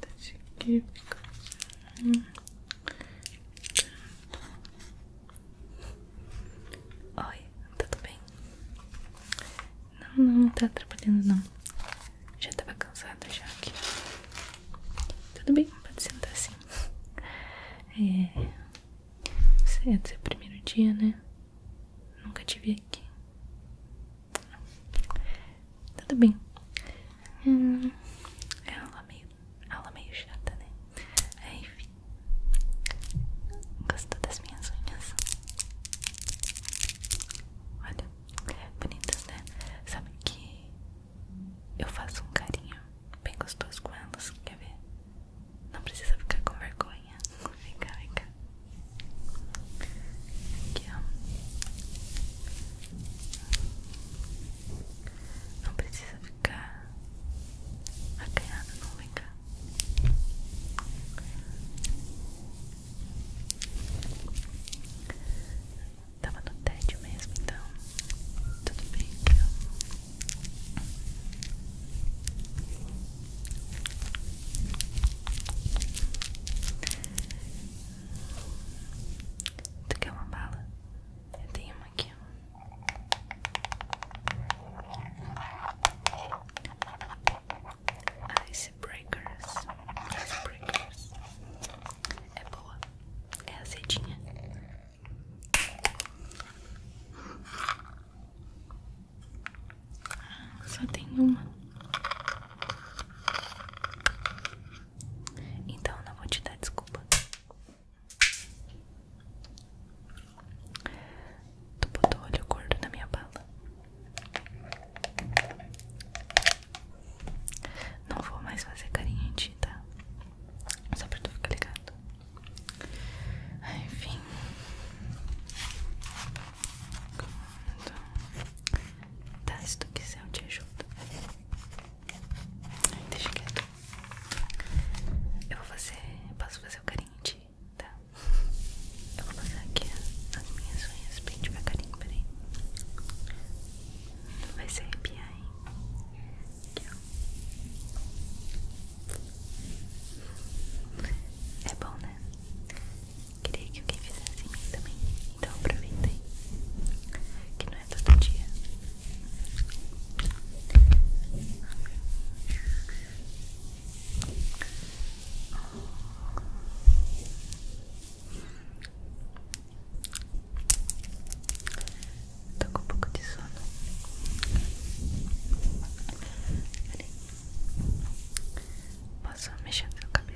Deixa aqui assim. Oi, tá tudo bem? Não, não, não tá atrapalhando não Já tava cansada já aqui Tudo bem, pode sentar assim É... Você é seu primeiro dia, né? Nunca te vi aqui tudo bem. Hum, é aula meio, aula meio chata, né? enfim. Gostou das minhas unhas? Olha, bonitas, né? Sabe que eu faço um carinho bem gostoso com elas, quer ver? Não precisa ficar com vergonha. Vem cá, vem cá. Aqui, ó. Não precisa ficar acanhada, não vem cá. Tava no tédio mesmo, então tudo bem Tu quer uma bala? Eu tenho uma aqui. Icebreakers. Icebreakers. É boa. É azedinha. Só tem uma. Então não vou te dar desculpa. Tu botou olho gordo na minha bala. Não vou mais fazer carinho em ti, tá? Só pra tu ficar ligado. Ah, enfim. Então, Tá, se tu quiser eu te ajudo Deixa quieto Eu vou fazer, posso fazer o carinho de tá? Eu vou fazer aqui as minhas unhas bem devagarinho, peraí Tu vai ser arrepiar, hein? Aqui, ó. É bom, né? Queria que alguém fizesse em mim também. Então aproveitei, Que não é todo dia. Tô com um pouco de sono. Posso mexer no cabelo?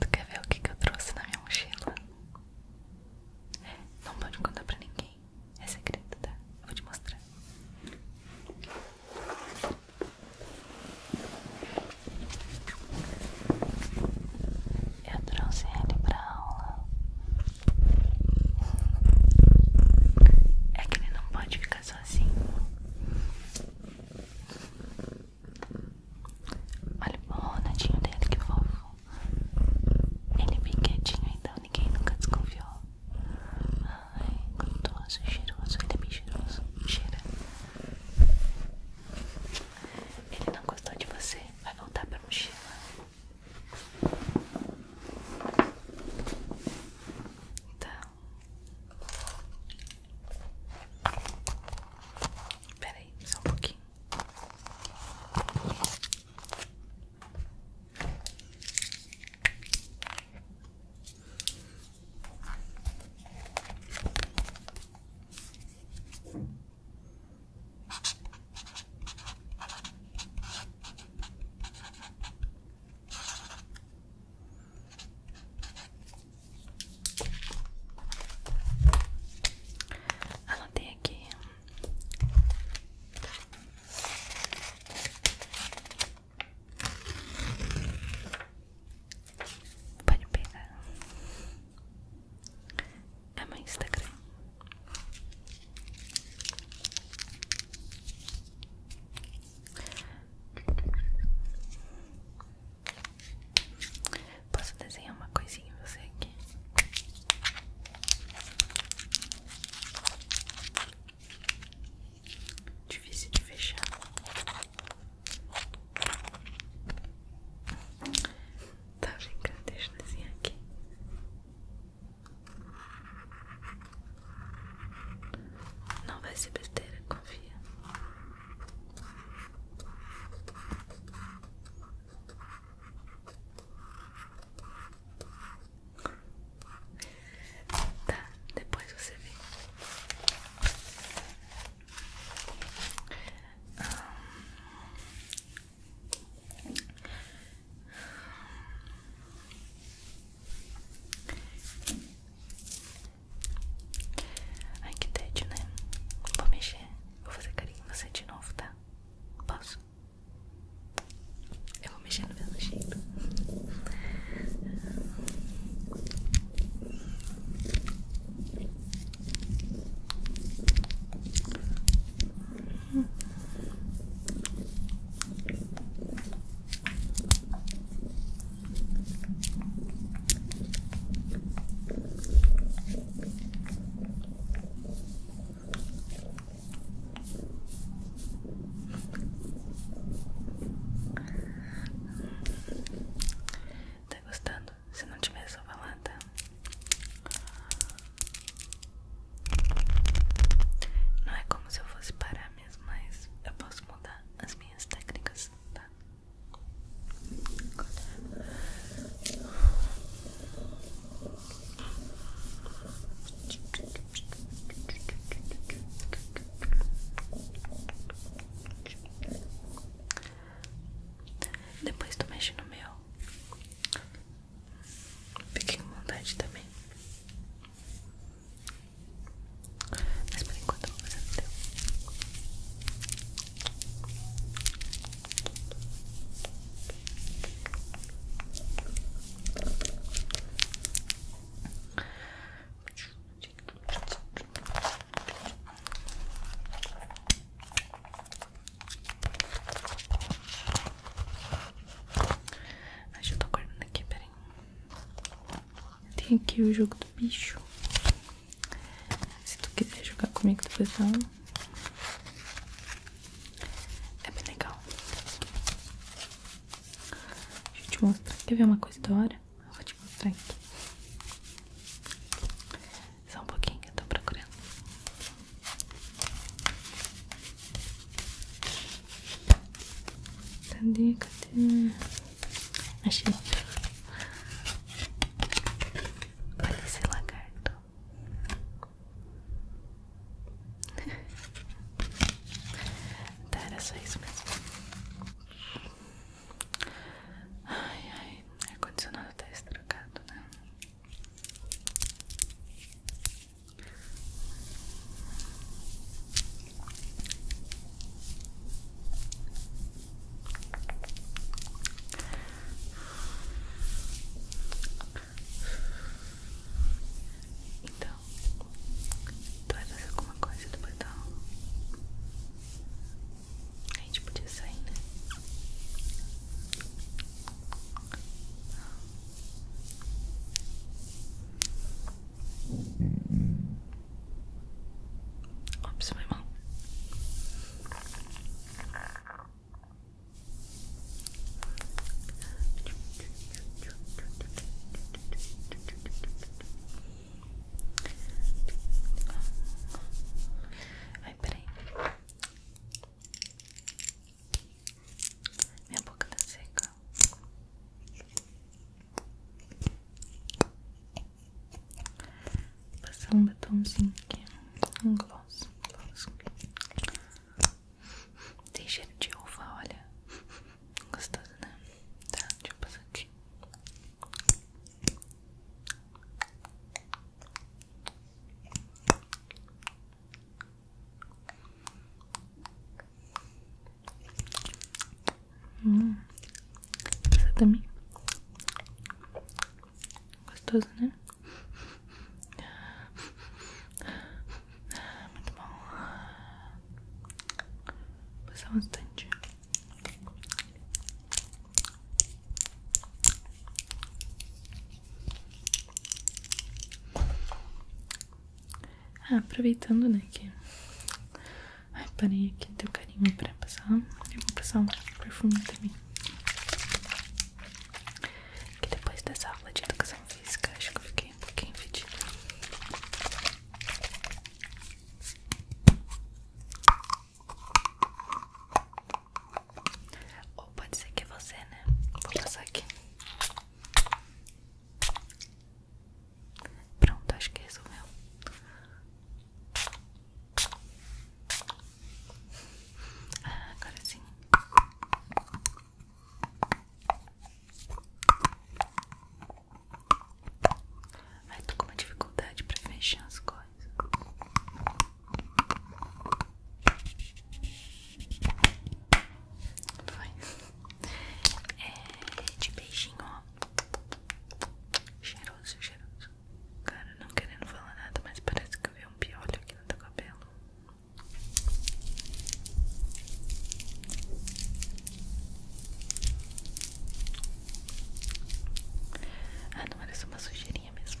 Tu quer ver o que, eu trouxe na minha mochila? Não pode contar pra ninguém. É segredo, tá? vou te mostrar. Eu trouxe ele pra aula. É que ele não pode ficar sozinho. Olha o borradinho dele, que fofo. Ele é bem quietinho, então ninguém nunca desconfiou. Ai, gostoso, cheiroso. Ele é bem cheiroso. Cheira. Ele não gostou de você. Vai voltar pra mochila. Então. Espera aí, só um pouquinho. Ela aqui Pode pegar É meu Instagram Posso desenhar uma coisinha em você aqui? Difícil de fechar. Tá brincando, deixa eu desenhar aqui. Não vai ser besteira, confia. Tá, depois você vê. Ai que tédio, né? Vou mexer, vou fazer carinho em você de novo, tá? Posso? Eu vou mexer no meu jeito. Tá gostando? Se não tiver só balada Não é como se eu fosse parar mesmo Mas eu posso mudar as minhas técnicas tá? Depois tu mexe no meu Fiquei com vontade também mas por enquanto eu vou fazer o teu. Acho que eu tô acordando aqui, peraí. Tem aqui o jogo do bicho. Se tu quiser jogar comigo depois da aula. É bem legal. Deixa eu te mostrar. Quer ver uma coisa da hora? Eu vou te mostrar aqui. Só um pouquinho, eu tô procurando. tá Cadê? Achei Olha esse lagarto Tá, era só isso mesmo Ai, ai, o ar-condicionado tá estragado, né? Então, tu vai fazer alguma coisa depois da A gente podia sair, né? Ops, foi mal. Ai, peraí. Minha boca tá seca boca. passar um botãozinho aqui, um gloss, gloss. Tem cheiro de uva, olha. Gostoso, né? Tá, deixa eu passar aqui boca. Hum. também? Gostoso, né? Ah, muito bom. passar bastante. Ah, aproveitando, né, que Ai, parei aqui teu carinho pra passar. Eu vou passar um perfume também. Que depois dessa aula de educação física, acho que eu fiquei um pouquinho fedida. Ou pode ser que é você, né? Vou passar aqui. Pronto, acho que resolveu. É ah, agora sim. Ai, tô com uma dificuldade pra fechar as coisas. Foi. É, de beijinho, Cheiroso, cheiroso. Cara, não querendo falar nada, mas parece que eu vi um piolho aqui no teu cabelo. Ah, não parece uma sujeirinha mesmo.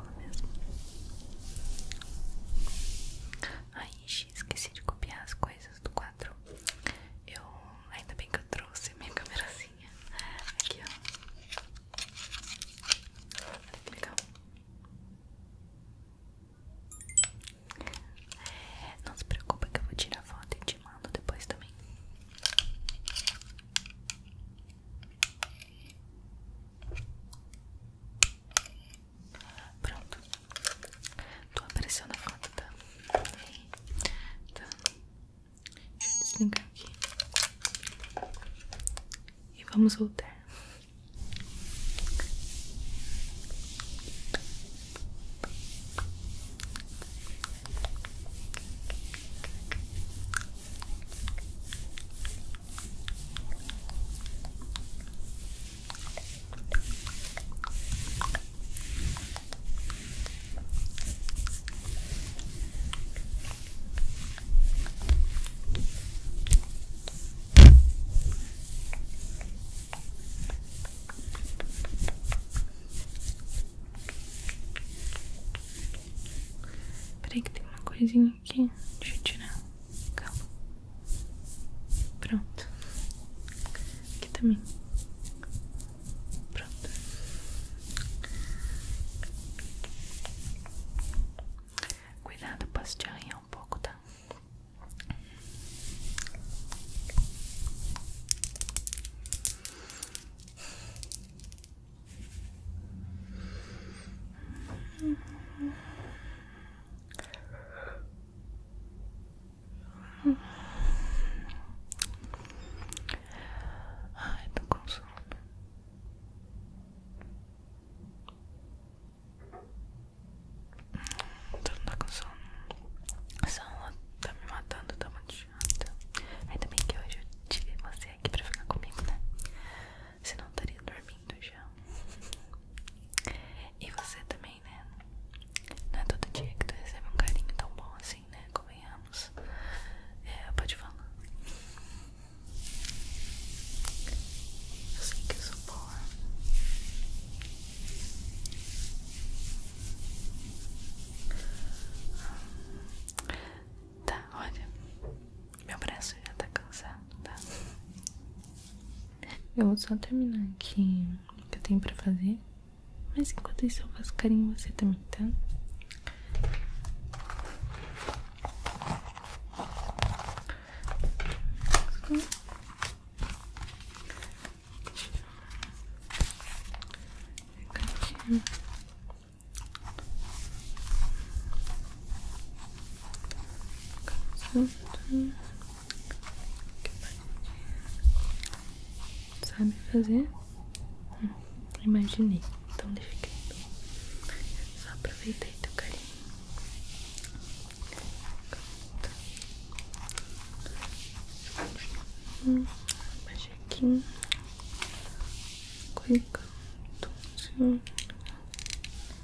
aula mesmo. Ai, esqueci de copiar as coisas do quadro. Eu ainda bem que eu trouxe minha camerazinha aqui, ó. Olha que legal. Não se preocupa que eu vou tirar foto e te mando depois também. Ai, Pronto. tô apareceu a foto, tá? tá. desligar aqui. E vamos voltar. Peraí que tem uma coisinha aqui, deixa tirar. Calma. Pronto. Aqui também. Pronto. Cuidado, posso te arranhar um pouco, tá? Ai, tô com sono. Tô não com sono. Essa aula tá me matando, tá muito chata. Ainda bem que hoje eu tive você aqui pra ficar comigo, né? Senão eu estaria dormindo já. E você também, né? Não é todo dia que tu recebe um carinho tão bom assim, né? Convenhamos. É, pode falar. Eu sei que sou boa. Tá, olha, meu braço já tá cansado, tá? Eu vou só terminar aqui o que eu tenho pra fazer. Mas enquanto isso eu faço carinho você também, tá? Fica Sabe fazer? Hum, imaginei. Então deixa Só aproveitei teu carinho. Hum, baixei aqui. Cuidado.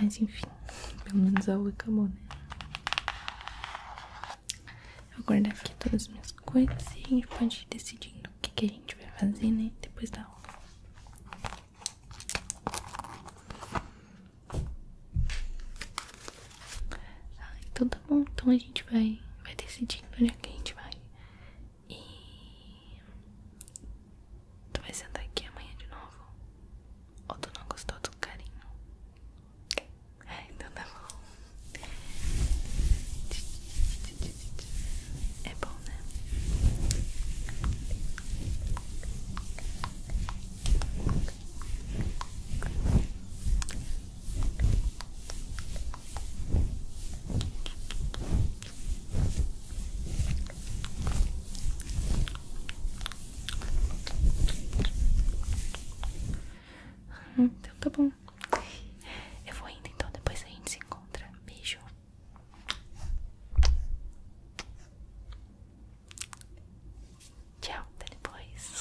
Mas enfim, pelo menos a rua acabou, né? Eu vou aqui todas as minhas coisas e a gente pode ir decidindo o que, a gente vai fazer, né? Depois da aula. Ah, então tá bom, então a gente vai, vai decidindo onde é que a gente vai. E tu vai sentar aqui amanhã de novo? Ou tu não gostou do carinho? É, então tá bom. É bom, né? Hum, então tá bom. Eu vou indo então, depois a gente se encontra. Beijo. Tchau, até depois.